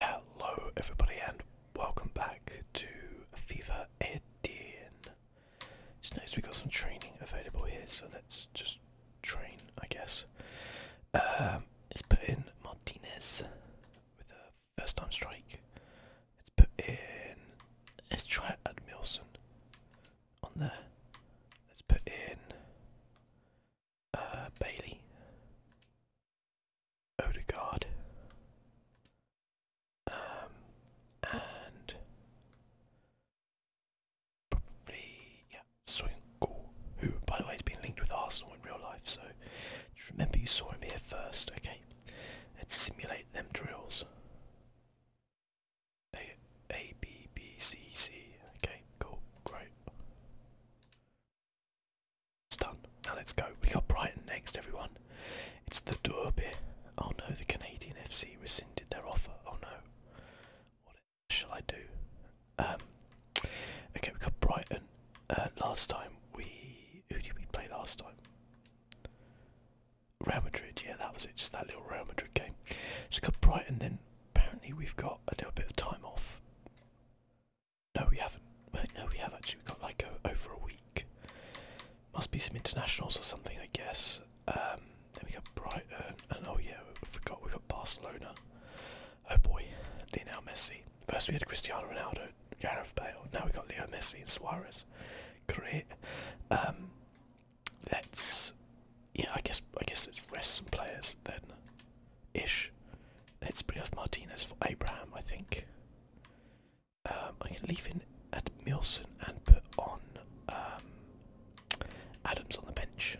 Hello everybody and welcome back to Fever Eden. Just noticed we got some training available here, so let's just train, I guess. Um, let's put in Martinez with a first time strike. Let's put in, let's try Admilson on there. Let's put in uh, Bailey. Odegaard. Um, and probably yeah, Swinkle, who by the way has been linked with Arsenal in real life, so just remember you saw him here first, okay? And simulate them drills. A A B B C C. Okay, cool, great. It's done. Now let's go. We got Brighton next, everyone. It's the Derby. Oh no, the Canadian FC rescinded their offer. Oh no. What shall I do? Um, okay, we got Brighton. Uh, last time we... Who did we play last time? Real Madrid, yeah, that was it. Just that little Real Madrid game. So we got Brighton, then apparently we've got a little bit of time off. No, we haven't. no, we have actually. We've got like over a week. Must be some internationals or something, I guess. Um, then we got Brighton, oh yeah, we forgot we got Barcelona. Oh boy, Lionel Messi. First we had Cristiano Ronaldo, Gareth Bale. Now we got Leo Messi and Suarez. Great. Um, let's. Yeah, I guess I guess let's rest some players then ish. Let's bring off Martinez for Abraham, I think. Um, I can leave in at Milson and put on um, Adams on the bench.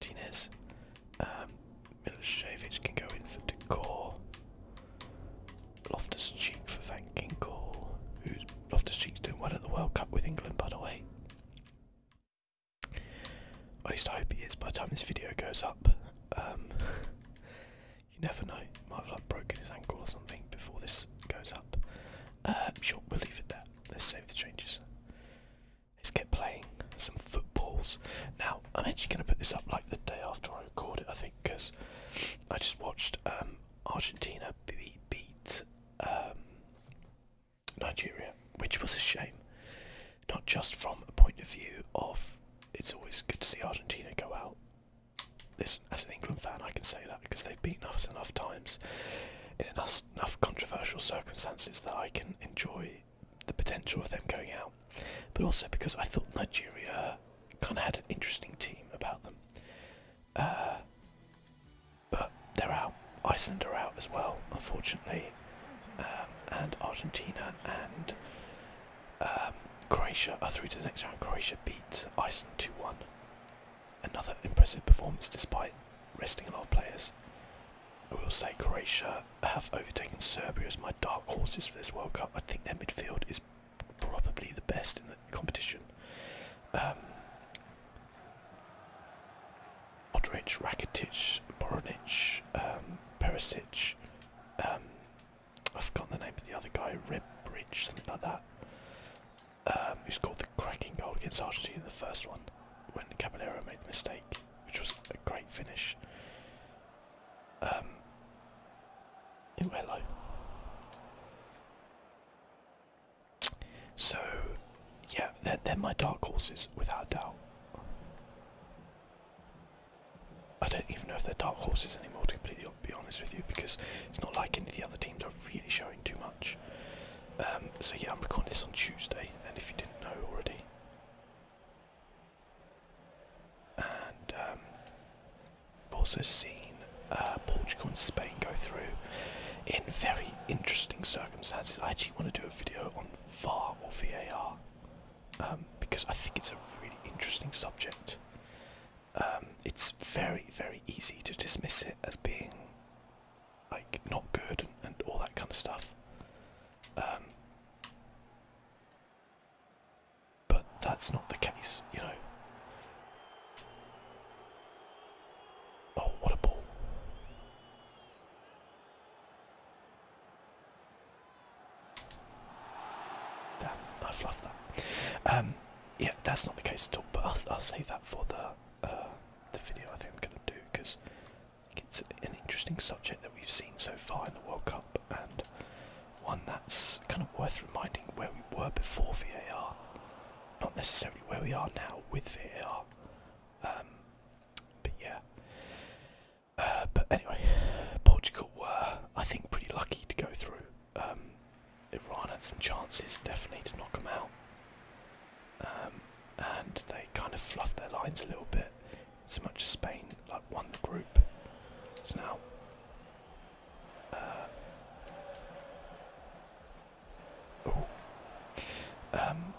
Martinez. Um, Milosevic can go in for Decor. Loftus Cheek for Van Ginkel. Who's Loftus Cheek's doing well at the World Cup with England, by the way. I least I hope he is by the time this video goes up. Um, you never know, might have broken his ankle or something before this goes up. Uh, sure, we'll leave it there. Let's save the changes. Let's get playing some footballs. Now, I'm actually going to put this up like the day after I record it, I think, because I just watched um, Argentina beat, um, Nigeria, which was a shame not just from a point of view of it's always good to see Argentina go out. Listen, as an England fan, I can say that because they've beaten us enough times in enough, controversial circumstances that I can enjoy the potential of them going out. But also because I thought Nigeria kind of had an interesting team about them. Uh, but they're out. Iceland are out as well, unfortunately. Um, and Argentina and um, Croatia are through to the next round. Croatia beat Iceland 2 1. Another impressive performance despite resting a lot of players. I will say Croatia have overtaken Serbia as my dark horses for this World Cup. I think their midfield is probably the best in the competition. Um, Modric, Rakitic, Boronic, um, Perisic, um, I've forgotten the name of the other guy, Rib Bridge, something like that, um, who scored the cracking goal against Argentina in the first one when Caballero made the mistake, which was a great finish. Um, oh, hello. So, yeah, they're, they're my dark horses, without doubt. I don't even know if they're dark horses anymore, to completely be honest with you, because it's not like any of the other teams are really showing too much. Um, so yeah, I'm recording this on Tuesday, and if you didn't know already. And um, I've also seen uh, Portugal and Spain go through in very interesting circumstances. I actually want to do a video on VAR or VAR. Um, because I think it's a really interesting subject. Um, it's very, very easy to dismiss it as being like not good and, all that kind of stuff. Um, but that's not the case, you know. Oh, what a ball. Damn, I fluffed that. Um, yeah, that's not the case at all. But I'll, i save that for the uh, the video. I think I'm gonna do because it's an interesting subject that we've seen so far in the World Cup, and one that's kind of worth reminding where we were before VAR, not necessarily where we are now with VAR. Um, but yeah, uh, but anyway, Portugal were, I think, pretty lucky to go through. Um, Iran had some chances, definitely, to knock them out. Um, and they kind of fluffed their lines a little bit. So much as Spain like one group. So now. oh. Um,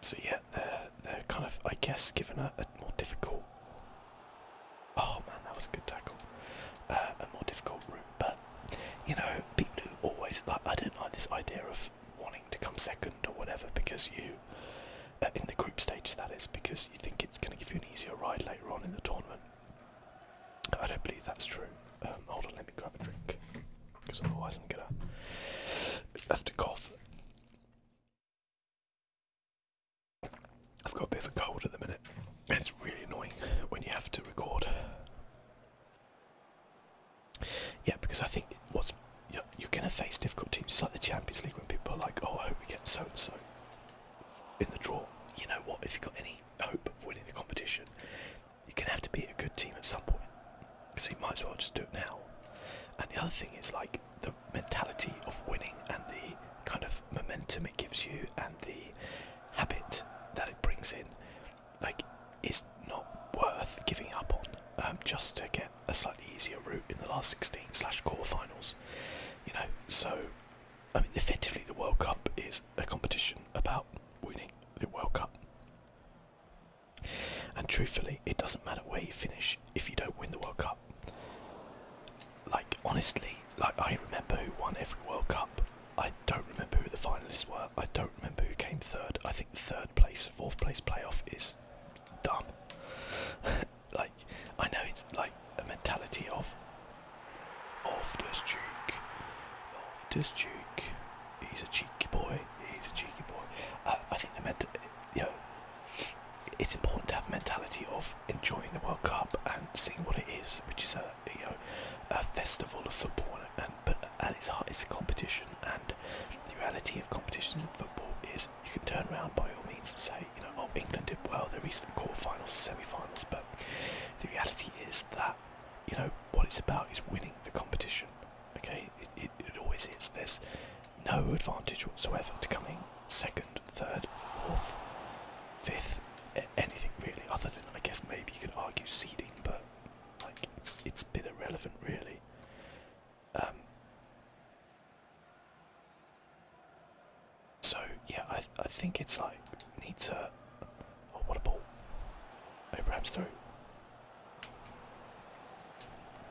so yeah, they're kind of I guess given a, more difficult. Oh man, that was a good tackle. Uh, a more difficult route, but you know, people who always I don't like this idea of wanting to come second or whatever because you uh, in the group stage that is because you think it's going to give you an easier ride later on in the tournament. I don't believe that's true. Um, hold on, let me grab a drink because otherwise I'm gonna have to cough. I've got a bit of a cold at the minute. It's really annoying when you have to record. Yeah, because I think what you're, you're going to face difficult teams like the Champions League when people are like, oh, I hope we get so and so in the draw. You know what? If you've got any hope of winning the competition, you're going to have to be a good team at some point. So you might as well just do it now. And the other thing is like the mentality of winning and the kind of momentum it gives you and the habit that it brings in, like, is not worth giving up on um, just to get a slightly easier route in the last 16 slash quarterfinals. You know, so I mean, effectively, the World Cup is a competition about winning the World Cup. And truthfully, it doesn't matter where you finish if you don't win the World Cup. Like honestly, like I remember who won every World Cup. I don't remember who the finalists were. I don't remember who came third. I think third place, fourth place playoff is dumb. like I know it's like a mentality of of this cheek, off this cheek. He's a cheeky boy. He's a cheeky boy. Uh, I think the ment, you know, it's important to have mentality of enjoying the World Cup and seeing what it is, which is a you know a festival of football, and, at its heart, it's a competition. And the reality of competitions of football is you can turn around by all means and say, you know, oh, England did well, they reached the quarterfinals, semi-finals, but the reality is that you know what it's about is winning the competition. Okay, it, always is. this no advantage whatsoever to coming second, third, fourth, fifth, anything really. Other than I guess maybe you could argue seeding, but like it's it's a bit irrelevant really. Um, so yeah, I I think it's like we need to. Oh, what a ball! Abraham's through.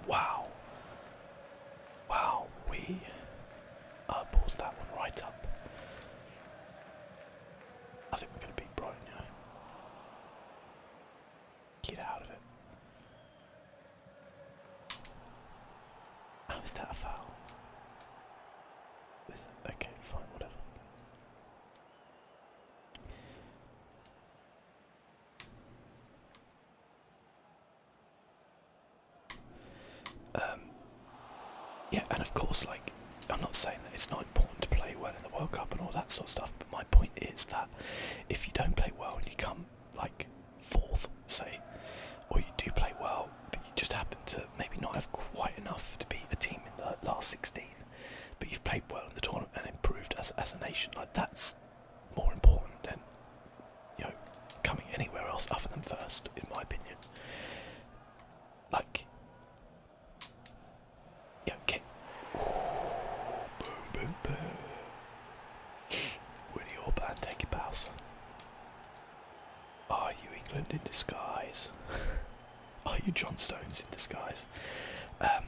Wow. Wow, we uh, that one right up. I think we're going to beat Brighton, Get out of it. How is that a foul? okay, fine, whatever. Um, yeah, and of course, like, I'm not saying that it's not important to play well in the World Cup and all that sort of stuff, but my point is that if you don't play well and you come, like, fourth, say, or you do play well, but you just happen to maybe not have quite enough to be the team in the last 16, but you've played well in the tournament and improved as, as a nation, like, that's more important than you know coming anywhere else other than first, in my opinion. Like, yeah, okay. Ooh, boom, boom, boom. Willie Orban, take a bow, Are you England in disguise? Are you John Stones in disguise? Um,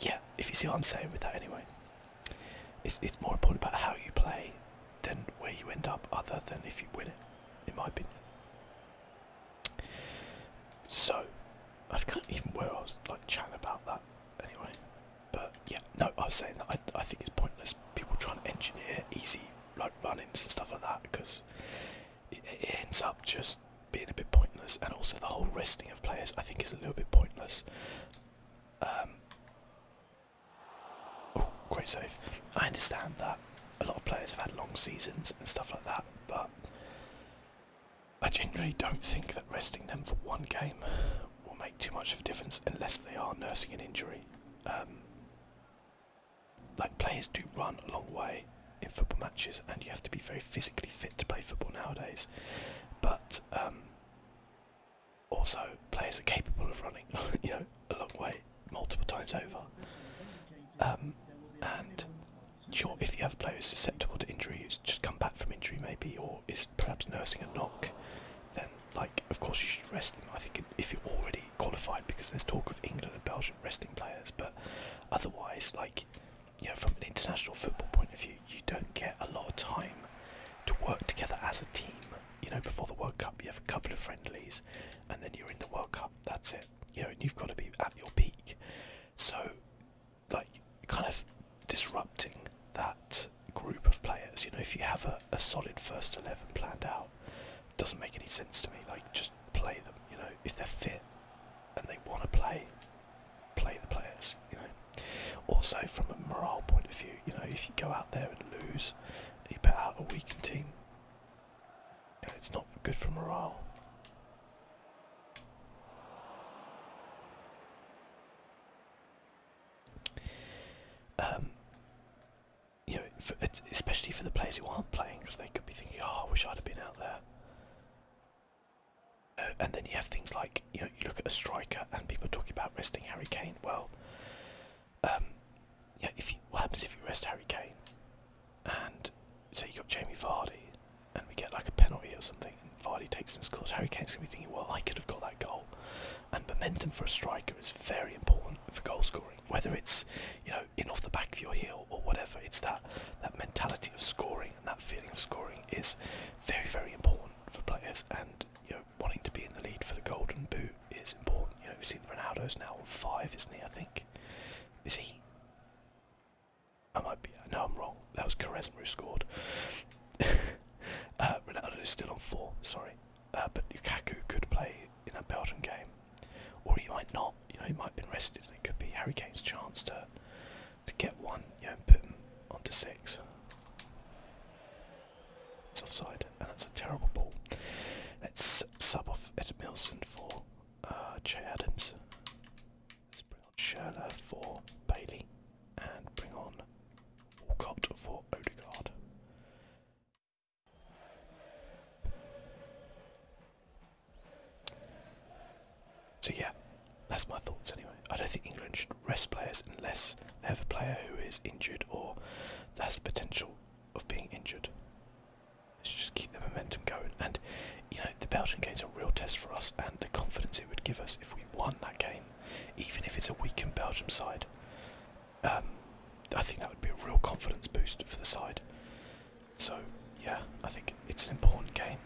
yeah, if you see what I'm saying with that, anyway it's, more important about how you play than where you end up, other than if you win it, in my opinion. So, I can't even where I was like chatting about that anyway. But yeah, no, I was saying that I, I think it's pointless people trying to engineer easy like run-ins and stuff like that because it, ends up just being a bit pointless. And also the whole resting of players, I think, is a little bit pointless. Um, quite oh, safe. I understand that a lot of players have had long seasons and stuff like that, but I generally don't think that resting them for one game will make too much of a difference unless they are nursing an injury. Um, like players do run a long way in football matches, and you have to be very physically fit to play football nowadays. But um, also players are capable of running, you know, a long way multiple times over. Um, and sure, if you have players susceptible to injury, who's just come back from injury maybe, or is perhaps nursing a knock, then like of course you should rest them. I think if you're already qualified, because there's talk of England and Belgium resting players, but otherwise, like you from an international football point of view, you don't get a lot of time to work together as a team you know, before the World Cup, you have a couple of friendlies, and then you're in the World Cup. That's it. You know, you've got to be at your peak. So, like, kind of disrupting that group of players. You know, if you have a, a solid first eleven planned out, doesn't make any sense to me. Like, just play them. You know, if they're fit and they want to play, play the players. You know. Also, from a morale point of view, you. know, if you go out there and lose, you bet out a weakened team. it's not good for morale. Um, you know, especially for the players who aren't playing, because they could be thinking, "Oh, I wish I'd have been out there." Uh, and then you have things like you know, you look at a striker, and people are talking about resting Harry Kane. Well, um, yeah, if what happens if you rest Harry Kane and say you got Jamie Vardy and we get like a penalty or something Vardy takes and scores, Harry Kane's gonna be thinking, well, I could have got that goal. And momentum for a striker is very important for goal scoring, whether it's you know in off the back of your heel or whatever. It's that that mentality of scoring and that feeling of scoring is very very important for players and you know wanting to be in the lead for the Golden Boot is important. You know, we've seen Ronaldo's now on five, isn't he? I think. Is he? I might be. No, I'm wrong. That was Quaresma who scored. uh, Ronaldo's still on four. Sorry, uh, but Lukaku could play in that Belgian game, or he might not. You know, he might have been rested, and it could be Harry Kane's chance to to get one. You know, put him onto six. It's offside, and it's a terrible ball. Let's sub off Ed Milson for uh, Adams. Let's bring on Sherla for Bailey, and bring on Walcott for Odegaard. So yeah, that's my thoughts anyway. I don't think England should rest players unless they have a player who is injured or has the potential of being injured. Let's just keep the momentum going. And you know, the Belgian game is a real test for us and the confidence it would give us if we won that game, even if it's a weakened Belgium side. Um, I think that would be a real confidence boost for the side. So, yeah, I think it's an important game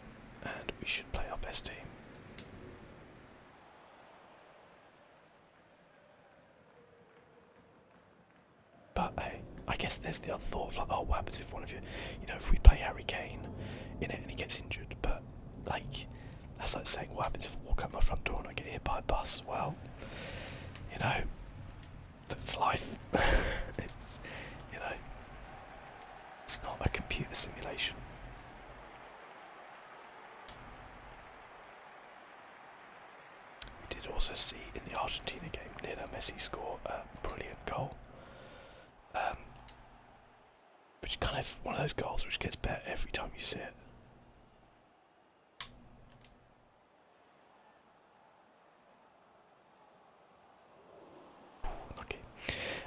and we should play our best team. But hey, I guess there's the other thought of like, oh, what happens if one of you, you know, if we play Harry Kane in it and he gets injured? But like, that's like saying, what happens if I walk out my front door and I get hit by a bus? Well, you know, that's life. it's, you know, it's not a computer simulation. We did also see in the Argentina game Lionel Messi score a brilliant goal, um, which kind of one of those goals which gets better every time you see it.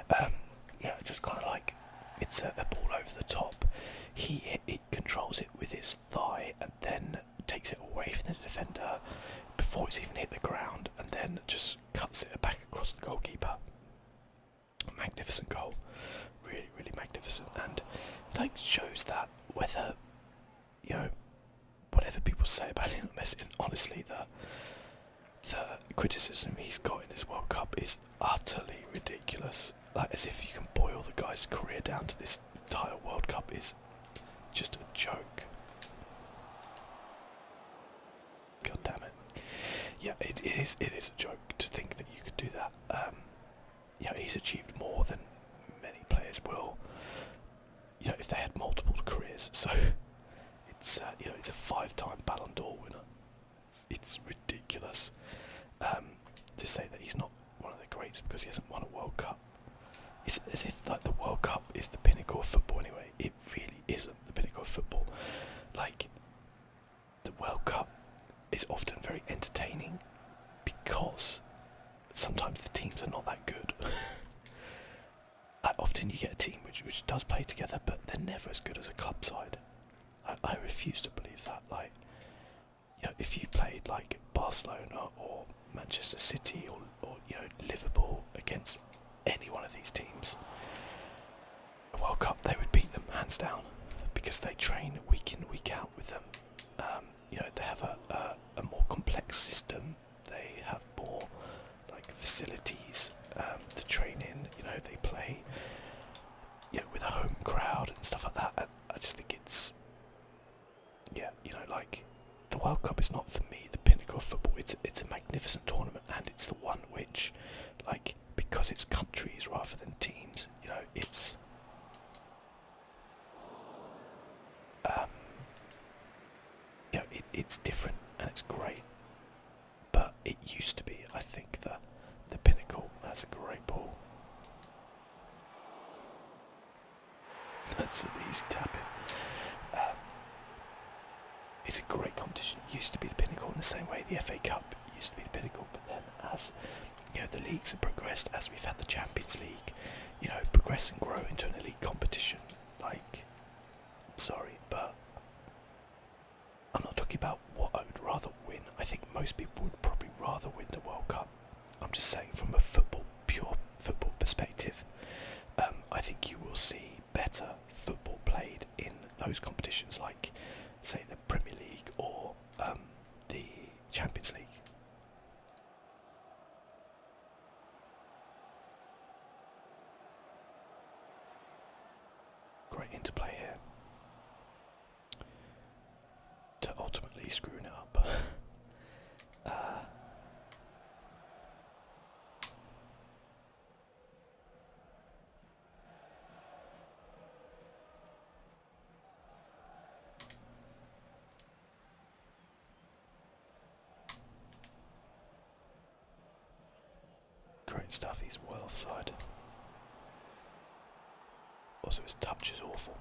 Ooh, um, yeah, just kind of like it's a, ball over the top. he controls it with his thigh and then takes it away from the defender before it's even hit the ground and then just cuts it back across the goalkeeper. Magnificent goal. Really, really magnificent and like shows that whether you know whatever people say about him, honestly the the criticism he's got in this World Cup is utterly ridiculous like as if you can boil the guy's career down to this entire World Cup is just a joke. God damn it! Yeah, it is. It is a joke to think that you could do that. Um, yeah, he's achieved more than many players will. You know, if they had multiple careers, so it's uh, you know it's a five-time Ballon d'Or winner. It's, it's ridiculous um, to say that he's not one of the greats because he hasn't won a World Cup. It's as if like the World Cup is the pinnacle of football anyway. It really isn't the pinnacle of football. Like the World Cup is often very entertaining because sometimes the teams are not that good. often you get a team which which does play together, but they're never as good as a club side. I, I refuse to believe that. Like if you played like Barcelona or Manchester City or, you know Liverpool against any one of these teams, the World Cup they would beat them hands down because they train week in week out with them. Um, you know they have a, a, more complex system. They have more like facilities um, to train in. You know they play you know, with a home crowd and stuff like that. I just think it's yeah, you know, like the World Cup is not for me the pinnacle of football. It's it's a magnificent tournament, and it's the one which, like, because it's countries rather than teams, you know, it's um, yeah, it, it's different and it's great. But it used to be, I think, the the pinnacle. That's a great ball. That's an easy tap in. Um, it's a great competition. It used to be the pinnacle in the same way the FA Cup used to be the pinnacle, but then as you know the leagues have progressed, as we've had the Champions League, you know, progress and grow into an elite competition. Like, sorry, but I'm not talking about what I would rather win. I think most people would probably rather win the World Cup I'm just saying from a football pure football perspective, um, I think you will see better football played in those competitions like say the Premier League or um, the Champions League. Great interplay here to ultimately screwing it up. Great uh, stuff, he's well offside. Also, oh, his touch is awful.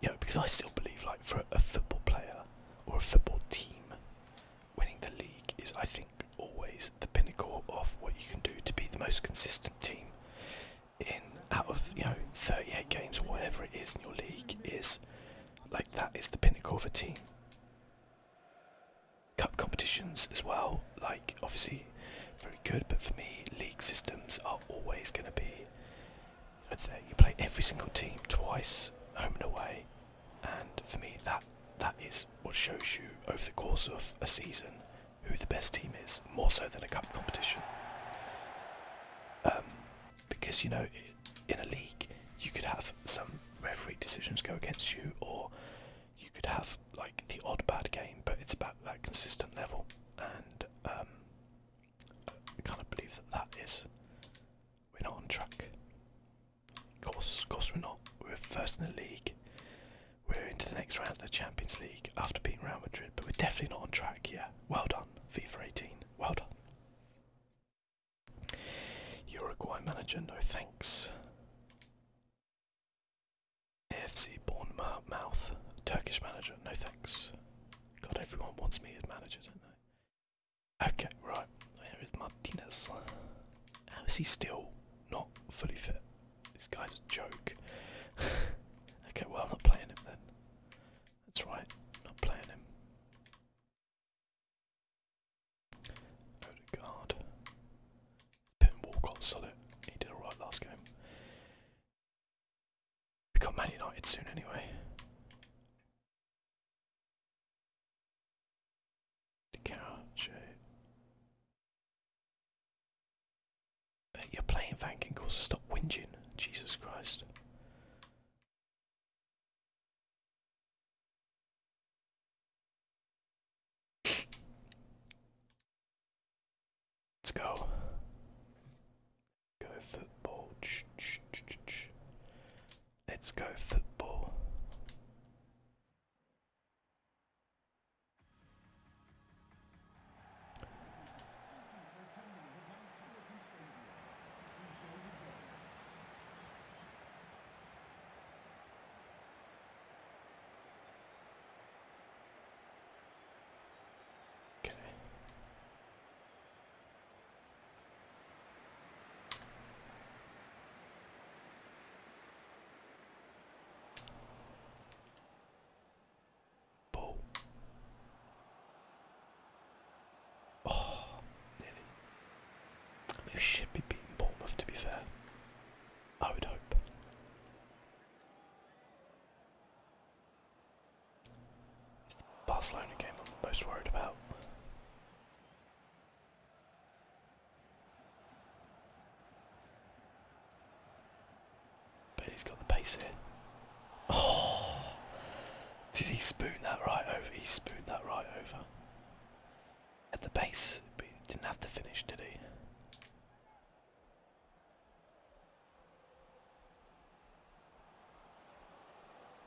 You because I still believe, like, for a football player or a football team, winning the league is, I think, always the pinnacle of what you can do to be the most consistent team in out of you know 38 games whatever it is in your league is like that is the pinnacle of a team cup competitions as well like obviously very good, but for me, league systems are always going to be you play every single team twice, home and away, and for me, that that is what shows you over the course of a season who the best team is, more so than a cup competition. Um, because you know, in a league, you could have some referee decisions go against you, or you could have like the odd bad game, but it's about that consistent level, and um, I kind believe that that is we're not on track. Of course, of course we're not. We're first in the league. We're into the next round of the Champions League after beating Real Madrid, but we're definitely not on track. Yeah, well done, FIFA 18. Well done. Uruguay manager, no thanks. AFC Bournemouth, Turkish manager, no thanks. God, everyone wants me as manager, don't they? Okay, right, there is Martinez. How is he still not fully fit? This guy's a joke. okay, well, I'm not playing him then. That's right, not playing him. Odegaard. Putting Walcott solid. He did alright last game. We got Man United soon anyway. Couch. Uh, you're playing Vankin calls to stop whinging. Jesus Christ. Let's go. Go football. Let's go football. Okay. Oh, we should be beating Bournemouth to be fair. I would hope. It's the Barcelona game I'm most worried about. But he's got the pace here. Oh, did he spoon that right over? He spooned that right over. At the base, didn't have to finish, did he?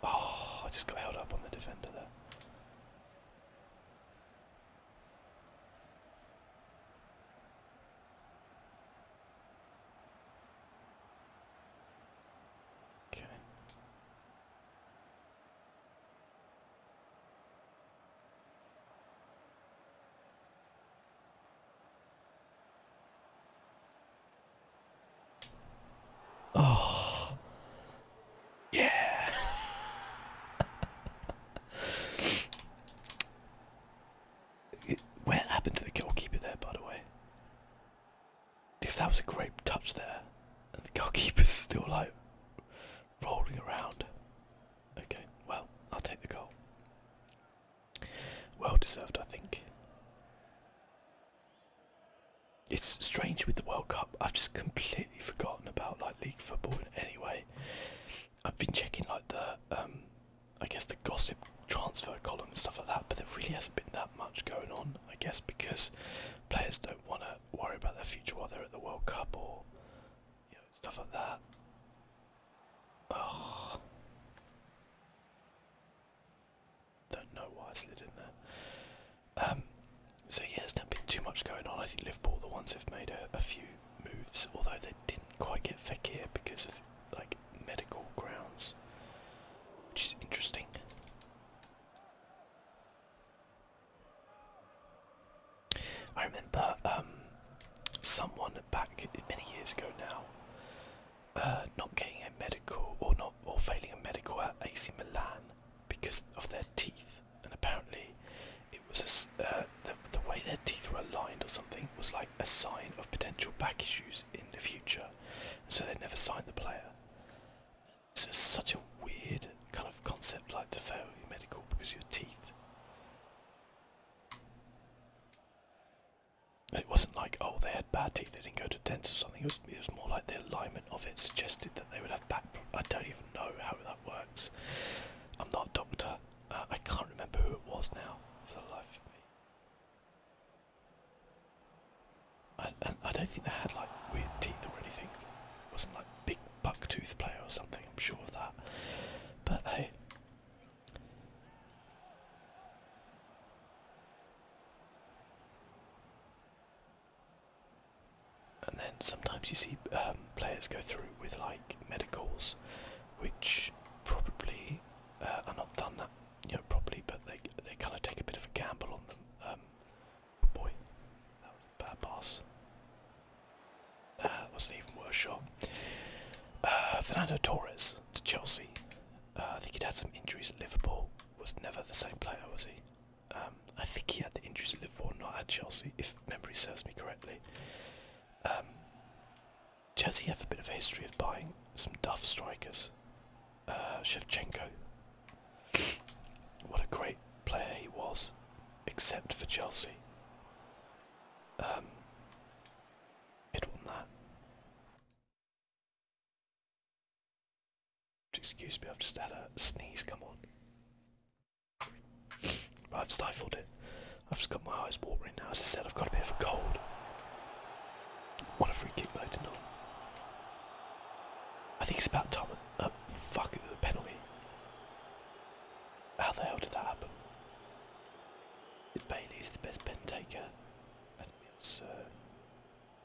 Oh, I just got held up on the defender there. Okay. Oh. Yeah. what happened to the goalkeeper there, by the way? Because that was a great touch there. And the goalkeeper's still like rolling around. Okay, well, I'll take the goal. Well deserved, I think. It's strange with the World Cup. I've just completely forgotten about like league football in any way. I've been checking like the, um, I guess the gossip transfer column and stuff like that, but there really hasn't been that much going on. I guess because players don't want to worry about their future while they're at the World Cup or you know, stuff like that. Oh. Don't know why I slid in there. Um, so yeah, there's not been too much going on. I think Liverpool, the ones who've made a, few moves, although they didn't quite get here because of like medical grounds, which is interesting. I remember um, someone back many years ago now uh, not getting a medical or not or failing a medical at AC Milan because of their teeth, and apparently it was a, uh, the, the way their teeth were aligned or something was like a sign of potential back issues in the future, so they never signed the player. It's just such a weird kind of concept, like to fail your medical because of your teeth. It wasn't like oh they had bad teeth, they didn't go to dentists or something. It was it was more like the alignment of it suggested that they would have back. I don't even know how that works. I'm not a doctor. Uh, I can't remember who it was now for the life of me. And, I don't think they had like weird teeth or anything. It wasn't like big buck tooth player or something. I'm sure of that. But hey, and then sometimes you see um, players go through with like medicals, which probably uh, are not done that you know properly, but they they kind of take a bit of a gamble on them. Um, boy, that was a bad pass. That uh, was not even worse shot. Uh, Fernando Torres to Chelsea. Uh, I think he'd had some injuries at Liverpool. Was never the same player, was he? Um, I think he had the injuries at Liverpool, not at Chelsea, if memory serves me correctly. Um, Chelsea have a bit of a history of buying some tough strikers. Uh, Shevchenko. what a great player he was, except for Chelsea. Um, Excuse me, I've just had a sneeze, come on. but I've stifled it. I've just got my eyes watering now. As I said, I've got a bit of a cold. What a free kick though, did I? think it's about time. Uh, fuck, it was a penalty. How the hell did that happen? Is Bailey's the best pen taker? And Mills, uh,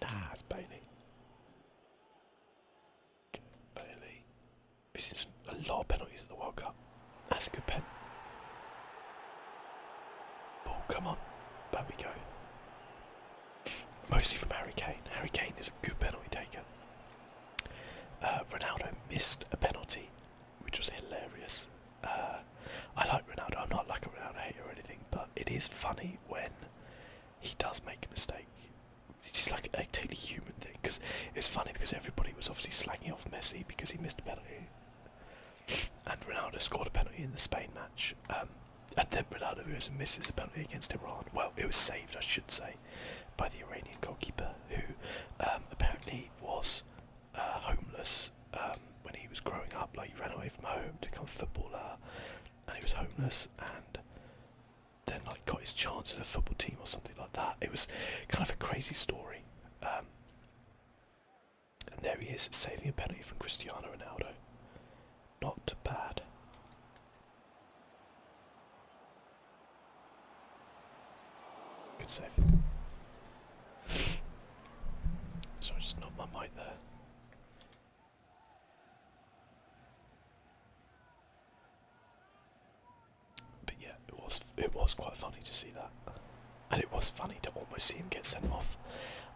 nah, it's Bailey. Bailey. We've a lot of penalties at the World Cup. That's a good pen. Ball, oh, come on. There we go. Mostly from Harry Kane. Harry Kane is a good penalty taker. Uh, Ronaldo missed a penalty which was hilarious. Uh, I like Ronaldo. I'm not like a Ronaldo hater or anything, but it is funny when he does make a mistake. It's like a totally human thing it's funny because everybody was obviously slanging off Messi because he missed a penalty, and Ronaldo scored a penalty in the Spain match. Um, and then Ronaldo goes and misses a penalty against Iran. Well, it was saved, I should say, by the Iranian goalkeeper who um, apparently was uh, homeless um, when he was growing up. Like he ran away from home to become a footballer, and he was homeless, and then like got his chance in a football team or something like that. It was kind of a crazy story. Um, and there he is saving a penalty from Cristiano Ronaldo. Not bad. Good save. So I just knocked my mic there. But yeah, it was it was quite funny to see that, and it was funny to almost see him get sent off.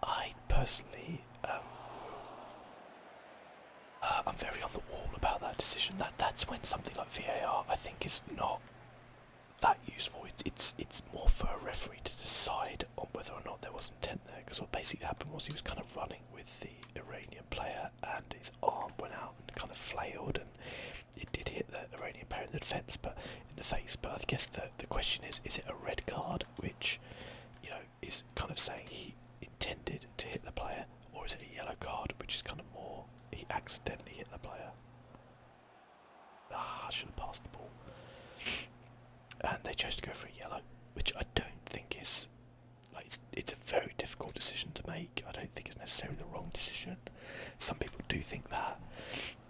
I personally, um, uh, I'm very on the wall about that decision. That that's when something like VAR I think is not that useful. It's it's it's more for a referee to decide on whether or not there was intent there. Because what basically happened was he was kind of running with the Iranian player, and his arm went out and kind of flailed, and it did hit the Iranian player in the defence, but in the face. But I guess the the question is, is it a red card, which you know is kind of saying he intended to hit the player, or is it a yellow card, which is kind of more he accidentally hit the player? Ah, I should have passed the ball. And they chose to go for a yellow, which I don't think is it's, it's a very difficult decision to make. I don't think it's necessarily the wrong decision. Some people do think that,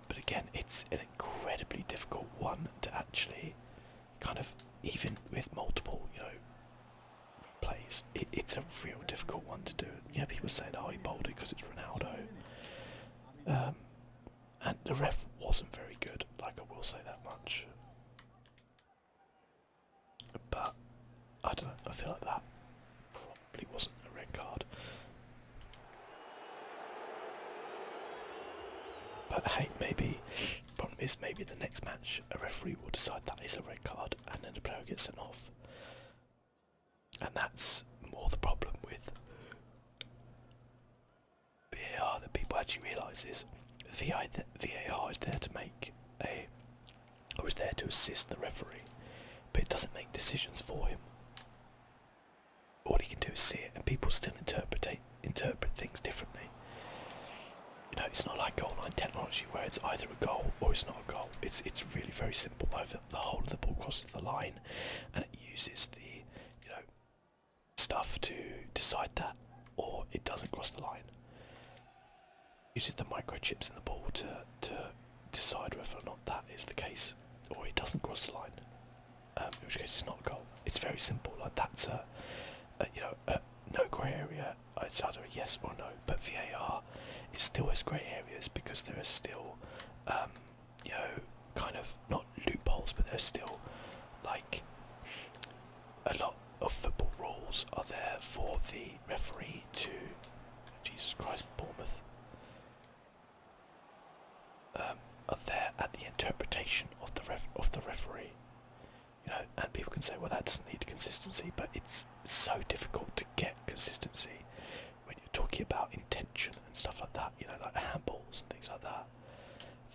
but again, it's an incredibly difficult one to actually kind of even with multiple, you know, plays it's a real difficult one to do. Yeah, people saying, "Oh, he bowled it because it's Ronaldo." Um, and the ref wasn't very good, like I will say that much. But I don't know, I feel like that probably wasn't a red card. But hey, maybe problem is maybe the next match a referee will decide that is a red card and then the player gets sent off. And that's more the problem with VAR that people actually realise is the AR is there to make a or is there to assist the referee, but it doesn't make decisions for him. All he can do is see it, and people still interpret interpret things differently. You know, it's not like goal line technology where it's either a goal or it's not a goal. It's it's really very simple over the whole of the ball crosses the line, uses the you know stuff to decide that, or it doesn't cross the line. It uses the microchips in the ball to to decide whether or not that is the case, or it doesn't cross the line. Um, in which case, it's not a goal. It's very simple. Like that's a, you know no grey area. It's either a yes or no. But VAR is still as grey areas because there are still um, you know, kind of not loopholes, but there's still like a lot of football rules are there for the referee to. Jesus Christ, Bournemouth. Um, are there at the interpretation of the ref of the referee, you know, and people can say, well, that doesn't need consistency, but it's so difficult to get consistency when you're talking about intention and stuff like that, you know, like handballs and things like that.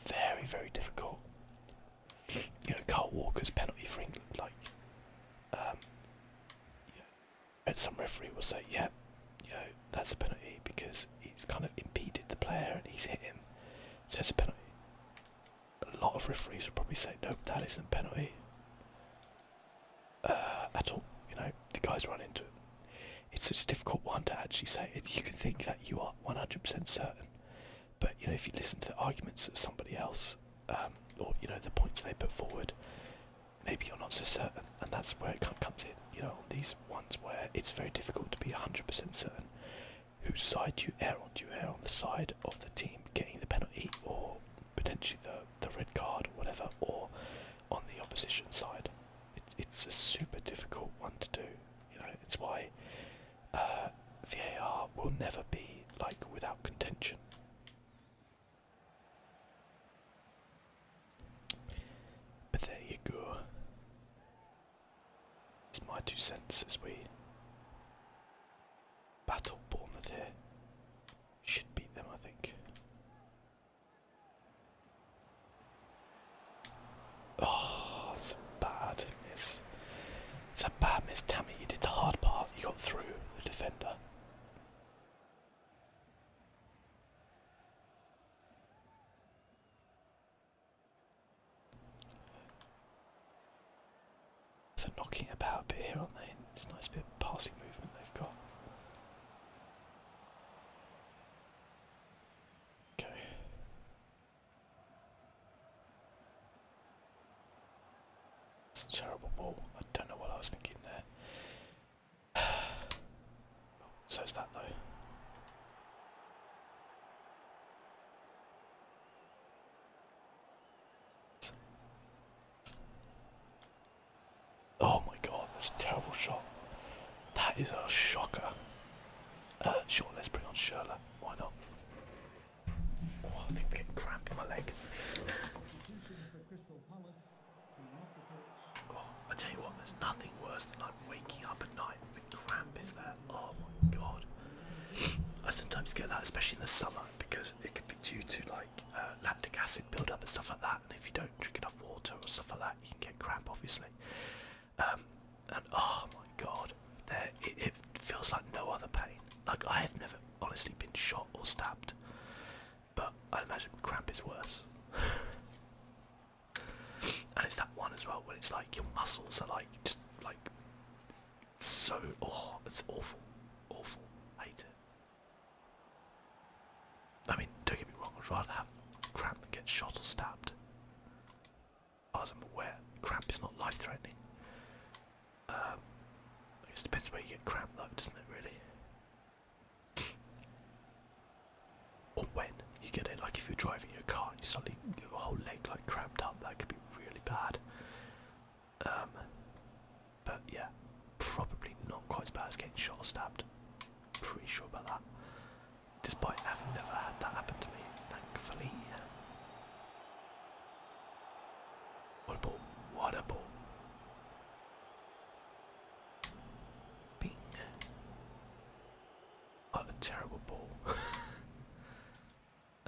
Very, very difficult. You know, Carl Walker's penalty for England, like, um, you know, some referee will say, yeah, you know, that's a penalty because he's kind of impeded the player and he's hit him, so it's a penalty. A lot of referees would probably say, no, that isn't a penalty uh, at all, you know the guys run into it. It's a difficult one to actually say. You can think that you are 100% certain, but you know if you listen to the arguments of somebody else, um, or you know the points they put forward, maybe you're not so certain, and that's where it comes in. You know, these ones where it's very difficult to be 100% certain whose side do you err on. Do you err on the side of the team getting the penalty, or potentially the the red card, or whatever, or on the opposition side? it's a super difficult one to do. You know, it's why uh, VAR will never be like without contention. But there you go. It's my two cents as we battle Bournemouth here. Should beat them, I think. Oh, it's a bad miss. It's a bad miss. you did the hard part. You got through the defender. They're knocking about a bit here, aren't It's a nice bit of passing movement they've got. It's a terrible ball. I don't know what I was thinking there. Oh, so is that though. Oh my god, that's a terrible shot. That is a shocker. Uh, sure, let's bring on Sherla. Why not? Oh, I think I'm getting cramp in my leg. oh, I tell you what, there's nothing worse than like waking up at night with cramp. Is there? Oh my god. I sometimes get that, especially in the summer, because it can be due to like uh, lactic acid buildup and stuff like that. And if you don't drink enough water or stuff like that, you can get cramp obviously um, and oh my god there it feels like no other pain like i have never honestly been shot or stabbed but i imagine cramp is worse and it's that one as well when it's like your muscles are like just like so oh it's awful awful hate it I mean, don't get me wrong, I'd rather have cramp than get shot or stabbed. As I'm aware, cramp is not life threatening. Um, I it depends where you get cramp though, doesn't it really? or when you get it, like if you're driving your car and you suddenly a whole leg like cramped up, that could be really bad. Um, but yeah, probably not quite as bad as getting shot or stabbed. Pretty sure about that despite having never had that happen to me, thankfully. What a ball, what a ball. Bing. What a terrible ball.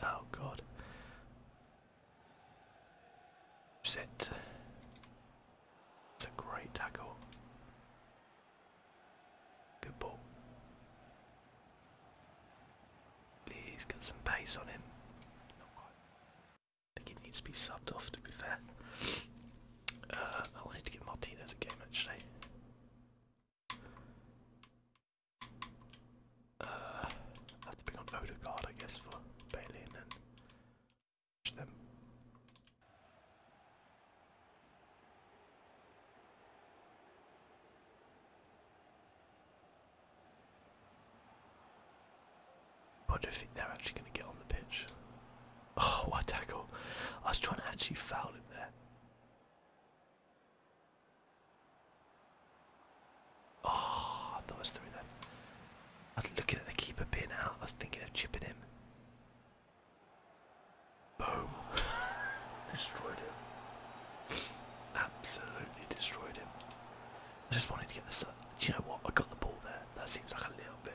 oh god. Set. It's a great tackle. Good ball. He's got some pace on him. Not quite. I think he needs to be subbed off to be fair. Uh, I wanted to give Martinez a game actually. Uh, I have to bring on Odegaard I guess for Bailey don't think they're actually going to get on the pitch. Oh, what tackle! I was trying to actually foul him there. Oh, I thought I was through then. I was looking at the keeper being out. I was thinking of chipping him. Boom. destroyed him. Absolutely destroyed him. I just wanted to get the sun. Do you know what? I got the ball there. That seems like a little bit.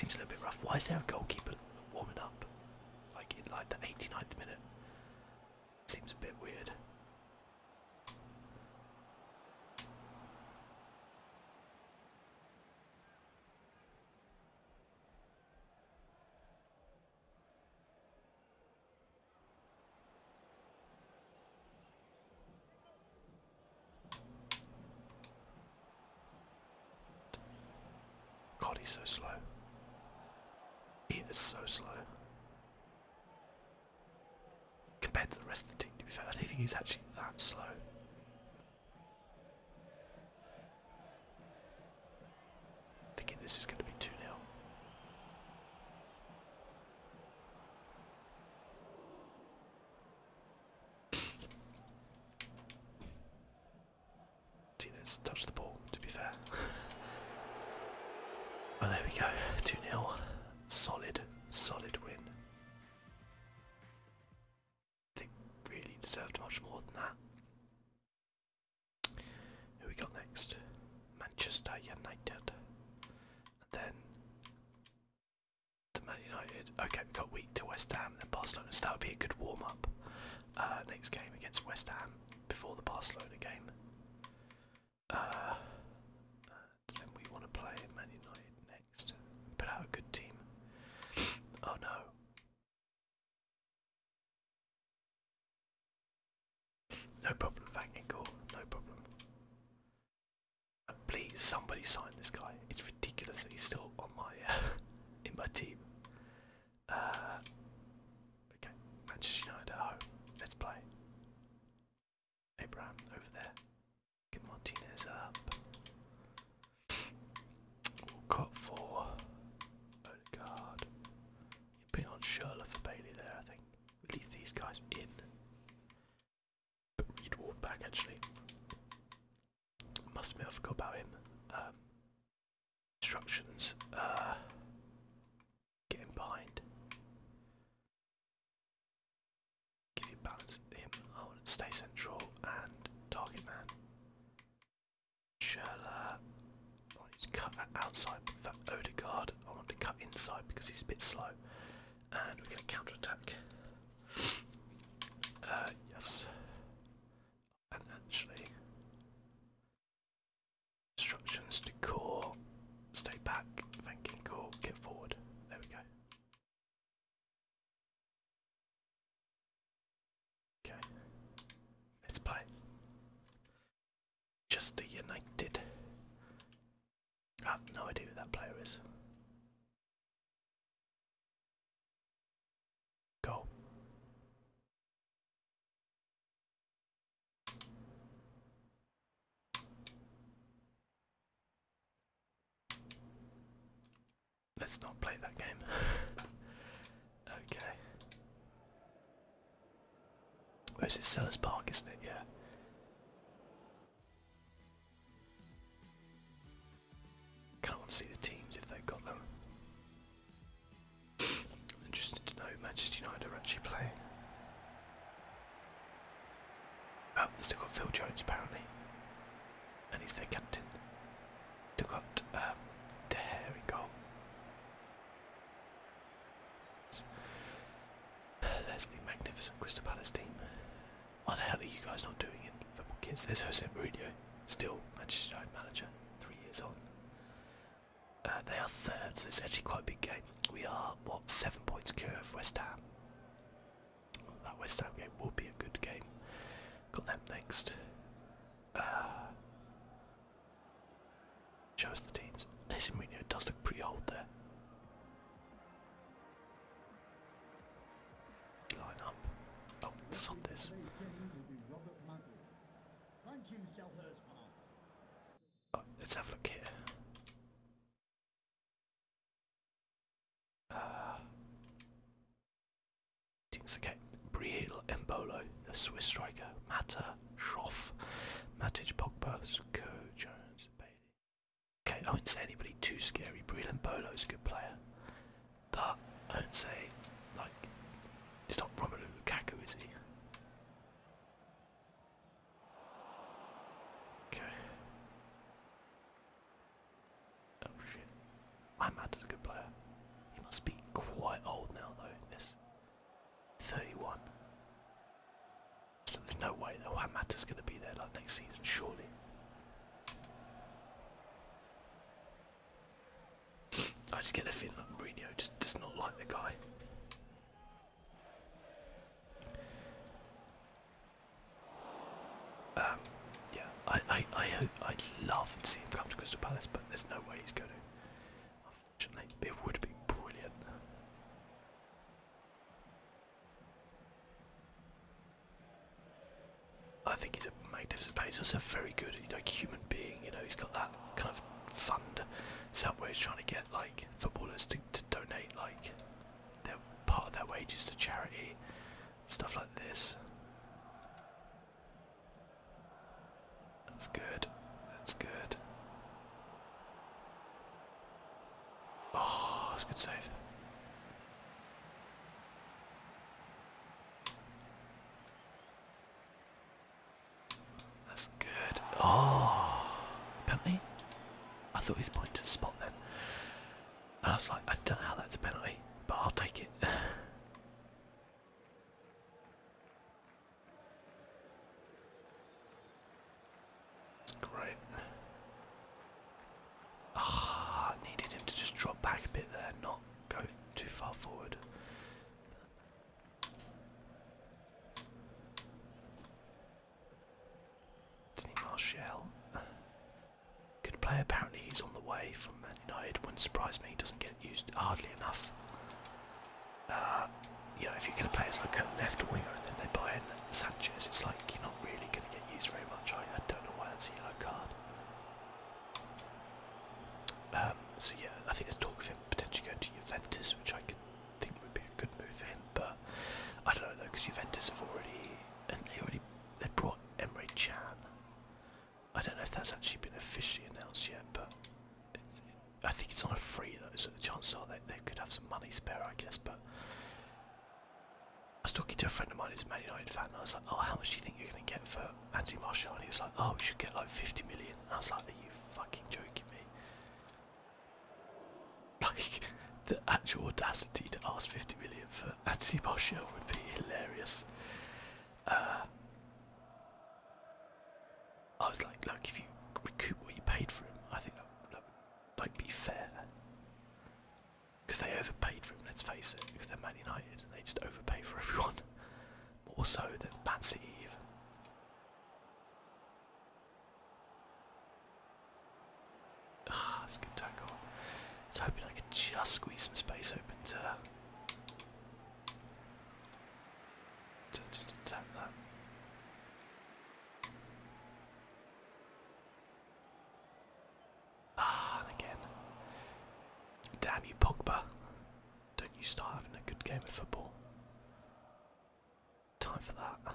Seems a little bit rough. Why is there a goalkeeper warming up? Like in like the 89th minute. It seems a bit weird. God, he's so slow. He is so slow. Compared to the rest of the team, to be fair, I don't think he's actually that slow. Thinking this is going to be 2 0. Tinas touched the ball, to be fair. well, oh, there we go 2 0. Solid, solid win they really deserved much more than that. Who we got next? Manchester United. then to Man United. Okay, we've got week to West Ham then Barcelona, so that would be a good warm up. Uh, next game against West Ham before the Barcelona game. Uh, then we want to play Man United next. Put out a good team. Oh no. No problem, thank you, cool. No problem. please, somebody sign this guy. It's ridiculous that he's still on my in my team. Uh, okay, Manchester United Let's play. Abraham over there. Get Martinez up. We'll cut for Odegaard. You put it on Schurler for Bailey there, I think. We leave these guys in. But Reed walked back actually. Must admit I forgot about him. Um, instructions. Uh, get him behind. Give you balance him. stay central and target man. Uh, I need to cut that outside for Odegaard. I want to cut inside because he's a bit slow. And we're going to counter attack. Uh, yes. And actually, instructions to core. Stay back. Thanking core. Get forward. There we go. Okay. Let's play. Just the United. I have no idea who that player is. Go. Let's not play that game. okay. Where's it? Sellers Park, isn't it? Yeah. Can't see the teams if they've got them. Interested to know Manchester United are actually playing. Oh, they've still got Phil Jones apparently and he's their captain. Still got De um, Gea goal. That's the magnificent Crystal Palace team. Why the hell are you guys not doing it, football kids? There's Jose Mourinho, still Manchester United manager, three years on. Uh, they are third, so it's actually quite a big game. We are, what, seven points clear of West Ham. That West Ham game will be a good game. Got them next. Uh, show us the teams. Listen, we know it does look pretty old there. Line up. Oh, it's on this. Oh, let's have a look here. Uh, Okay, Briel Mbolo, a Swiss striker, Mata, Schoff, Matic Pogba, Suko, Okay, I wouldn't say anybody too scary. Briel Mbolo is a good player. But I wouldn't say, like, it's not Romelu Lukaku, is he? Okay. Oh shit. My Matter's a good player. He must be quite old now though, this. 31. So there's no way that Juan Matter's gonna be there like next season, surely. I just get the feeling that Mourinho just does not like the guy. Um, yeah, I, I, I, I'd love to see him come to Crystal Palace, but there's no way he's going to. Unfortunately, it would be brilliant. I think he's a magnificent player. He's also very good, He's like human being. You know, he's got that kind of fund. He's trying to get like footballers to, donate like their part of their wages to charity, stuff like this. That's good. That's good. Oh, that's a good save. That's good. Oh, penalty? I thought he was pointing to the spot then. And I was like, I don't know how that's a penalty, but I'll take it. That's great. Ah, needed him to just drop back a bit there, not go too far forward. Anthony Martial. Good player, apparently he's on the way from Man United. Wouldn't surprise me he doesn't get used hardly enough. Uh, you know, if you get a players like a left winger and then they buy in Sanchez, it's like you're not really going to get used very much. I, don't know why that's a yellow card. Um, so yeah, I think there's talk of him potentially going to Juventus, which I could think would be a good move for him. But I don't know though, because Juventus have already and they already they brought Emery Chan, I don't know if that's actually been officially announced yet, but I think it's on a free though, so the chances are they, could have some money spare, I guess. But I was talking to a friend of mine who's a Man United fan, and I was like, "Oh, how much do you think you're going to get for Andy Marshall?" he was like, "Oh, we should get like 50 million." And I was like, "Are you fucking joking me?" Like the actual audacity to ask 50 million for Andy Marshall would be hilarious. Uh, I was like, look, if you recoup what you paid for him, I think that would like be fair. Because they overpaid for him, let's face it, because they're Man United and they just overpay for everyone. More so than Man City even. Ah, that's good tackle. I hoping I could just squeeze some space open to to just attempt that. Ah, again. Damn you, Pogba. Don't you start having a good game of football? Time for that.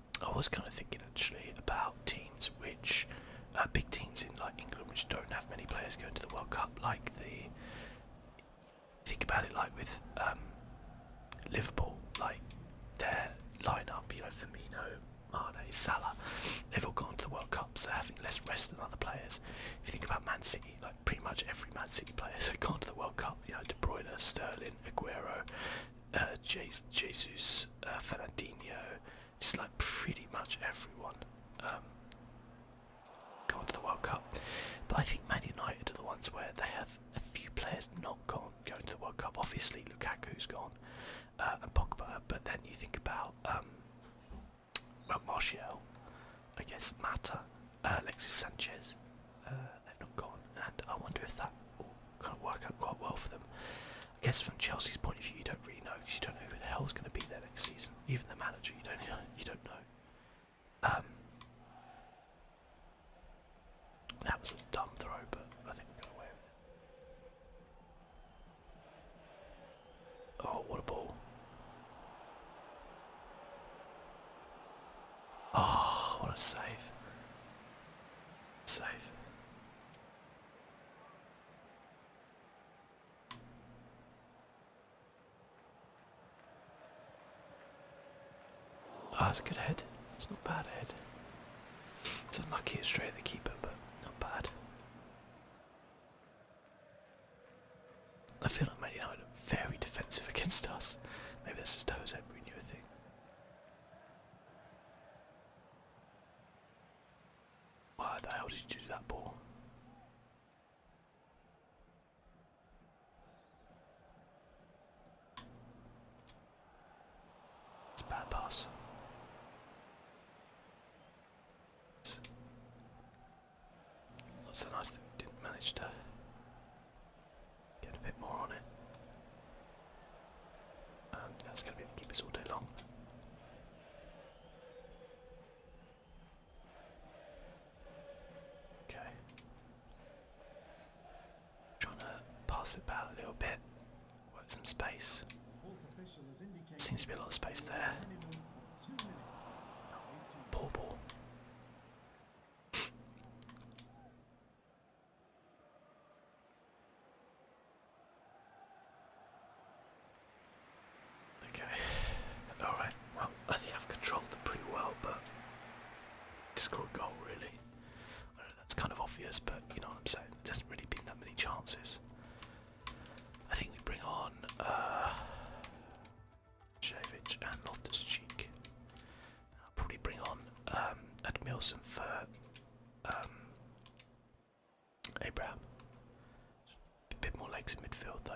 I was kind of thinking actually about teams which, uh, big teams in like England, which don't have many players going to the World Cup, like the. Think about it like with um, Liverpool, like their lineup, you know, Firmino, Mane, Salah, they've all gone to the World Cup, so having less rest than other players. If you think about Man City, like pretty much every Man City player has gone to the World Cup, you know, De Bruyne, Sterling, Aguero, uh, Jesus, uh, Fernandinho, it's like pretty much everyone um, gone to the World Cup. But I think Man United are the ones where they have a few players not gone going to the World Cup. Obviously, Lukaku's gone uh, and Pogba, but then you think about um, well, Martial, I guess Mata, uh, Alexis Sanchez. Uh, they've not gone, and I wonder if that will kind work out quite well for them. I guess from Chelsea's point of view, you don't really know because you don't know who the hell is going to be there next season. Even the manager, you don't know. You don't know. Um, that was a dumb throw, but I think we are going to win. Oh, what a ball! Oh, what a save! Save that's ah, a good head. It's not bad head. It's unlucky it's straight at the keeper, but not bad. I feel like maybe I look very defensive against us. Maybe that's just a knew a thing. What the hell did you do that ball? It's a bad pass. That's a nice thing didn't manage to get a bit more on it. Um, that's going to be able to keep us all day long. Okay. Trying to pass it back a little bit, work some space. Seems to be a lot of space there. poor ball. Okay. Alright, well, I think I've controlled pretty well, but to goal, really. I know that's kind of obvious, but you know what I'm saying? There hasn't really been that many chances. I think we bring on uh, Jovic and Loftus Cheek. I'll probably bring on um, Admilson for um, Abraham. A bit more legs in midfield though.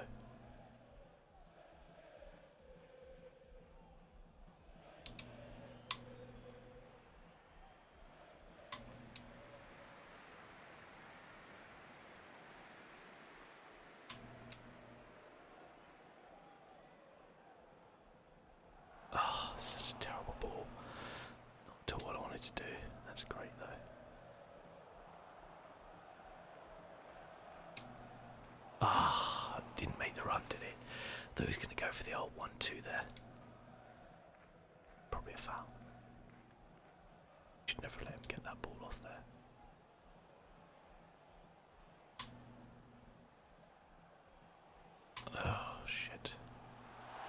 oh, such a terrible ball. Not to what I wanted to do. That's great though. Ah, didn't make the run, did he? Thought he was going to go for the old 1-2 there. Probably a foul. Should never let him get that ball off there. Oh shit.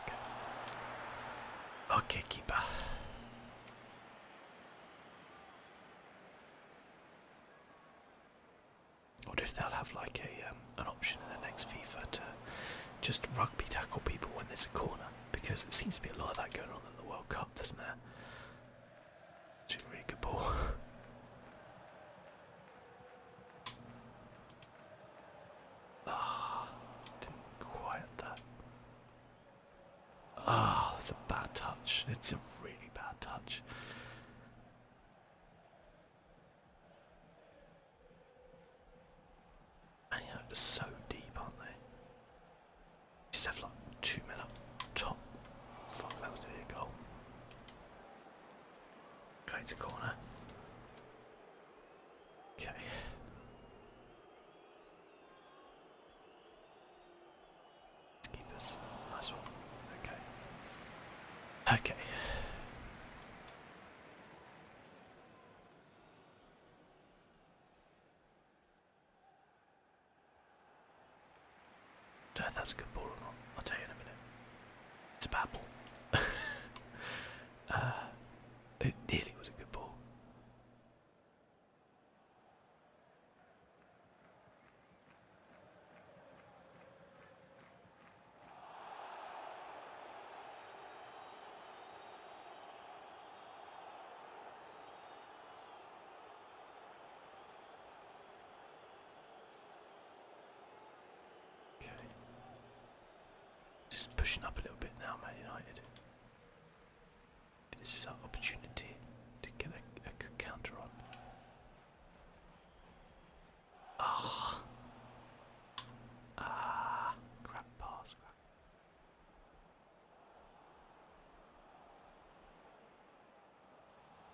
Okay, okay keeper. Or if they'll have like a um, an option in the next FIFA to just rugby tackle people when there's a corner, because there seems to be a lot of that going on in the World Cup, doesn't there? really good ball. Ah, didn't quiet that. Ah, oh, a bad touch. It's a really bad touch. And you know, so deep, aren't they? Just have like two men up top. Fuck, that was nearly a goal. Going to corner. Okay. let Nice one. Okay. Okay. Don't a good ball or not. I'll tell you in a minute. It's a bad ball. uh, it nearly was a good ball. Okay. Just pushing up a little bit now, Man United. This is our opportunity to get a, counter on. Ah, ah, crap pass.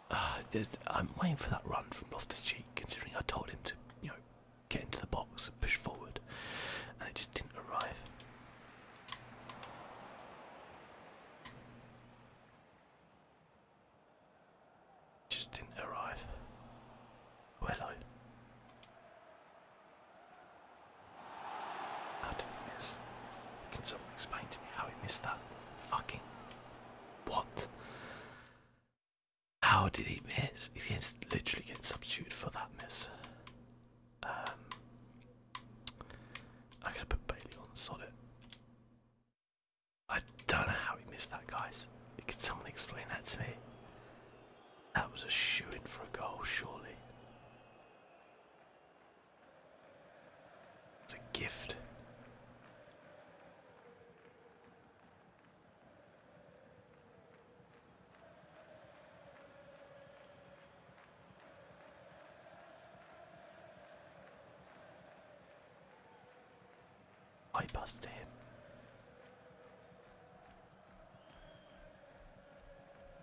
Crap. Uh, I'm waiting for that run from Loftus Cheek, considering I told him to, you know, get into the box, push forward, and it just didn't arrive. Just didn't arrive. Oh, How did it miss? Can someone explain to me how it missed that? Fucking. What? How did he miss? He's literally getting substituted for that miss. Um, I'm gonna put Bailey on. solid. I don't know how he missed that, guys. Could someone explain that to me? That was a shoe in for a goal, surely. It's a gift. I passed him.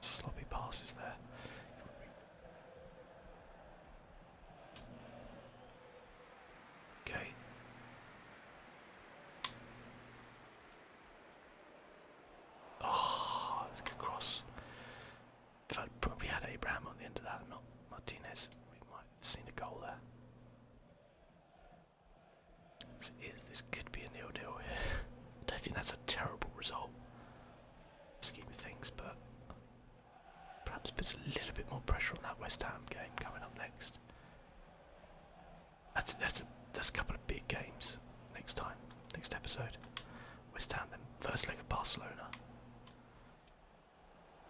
Sloppy passes there. Okay. Oh, it's a good cross. If I'd probably had Abraham on the end of that, not Martinez, we might have seen a goal there. This, is, this could be a nil nil here. I don't think that's a terrible result, scheme of things, but perhaps puts a little bit more pressure on that West Ham game coming up next. That's that's a, that's a couple of big games next time, next episode. West Ham then first leg of Barcelona.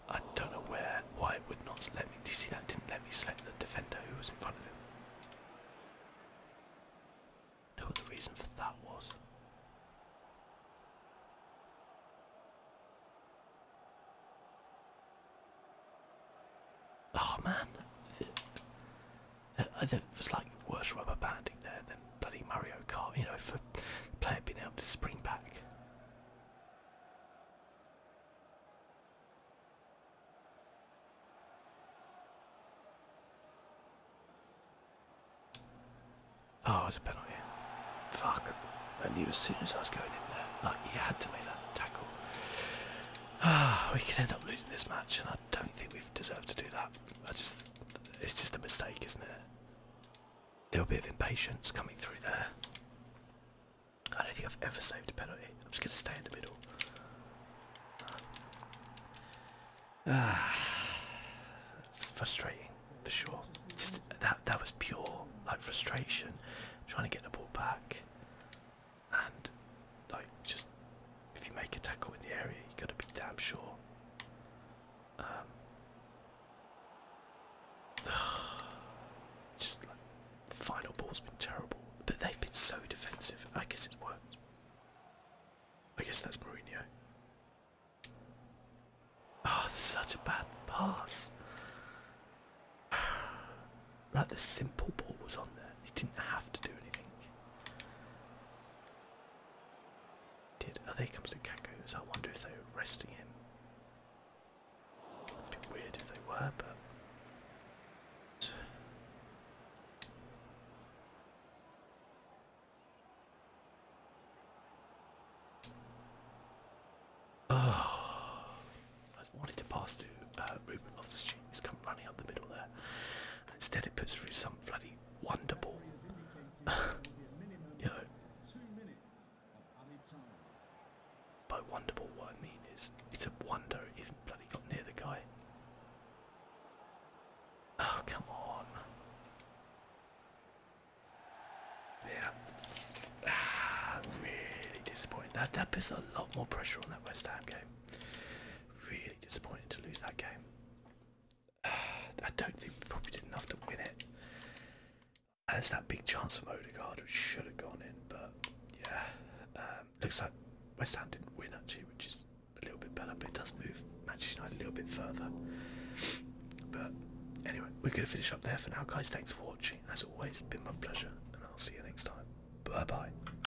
I don't know where why it would not let me. Do you see that? didn't let me select the defender who was in front of him. know what the reason for that was. Oh man, it like worse rubber banding there than bloody Mario Kart, you know, for the player being able to spring back. Oh, it's a penalty. Fuck. I knew as soon as I was going in there, like, he had to make that tackle. Ah, we could end up losing this match, and I don't think we've deserved to do that. I just, it's just a mistake, isn't it? A little bit of impatience coming through there. I don't think I've ever saved a penalty. I'm just going to stay in the middle. Ah, it's frustrating for sure. Just that that was pure like frustration, trying to get the ball back and like just if you make a tackle in the area, you got to be damn sure. Um, just final ball's been terrible, but they've been so defensive. I guess it's worked. I guess that's Mourinho. Oh, such a bad pass. Right, the simple ball was on there. He didn't have to do anything. Did oh there comes Lukaku, so I wonder if they are resting him. It'd be weird if they were, but Oh I wanted to pass to uh, Ruben off the He's come running up the middle there. instead, it puts through some bloody wonderball. you know, by wonder what I mean is, it's a wonder it even bloody got near the guy. Oh, come on. Yeah. Ah, really disappointing. that puts a lot more pressure on that West Ham game. Really disappointed to lose that game. I don't think we probably did enough to win it. There's that big chance from Odegaard which should have gone in, but yeah. Um, looks like West Ham didn't win actually, which is a little bit better, but it does move Manchester United a little bit further. But anyway, we're going to finish up there for now, guys. Thanks for watching. As always, it's been my pleasure, and I'll see you next time. Bye bye.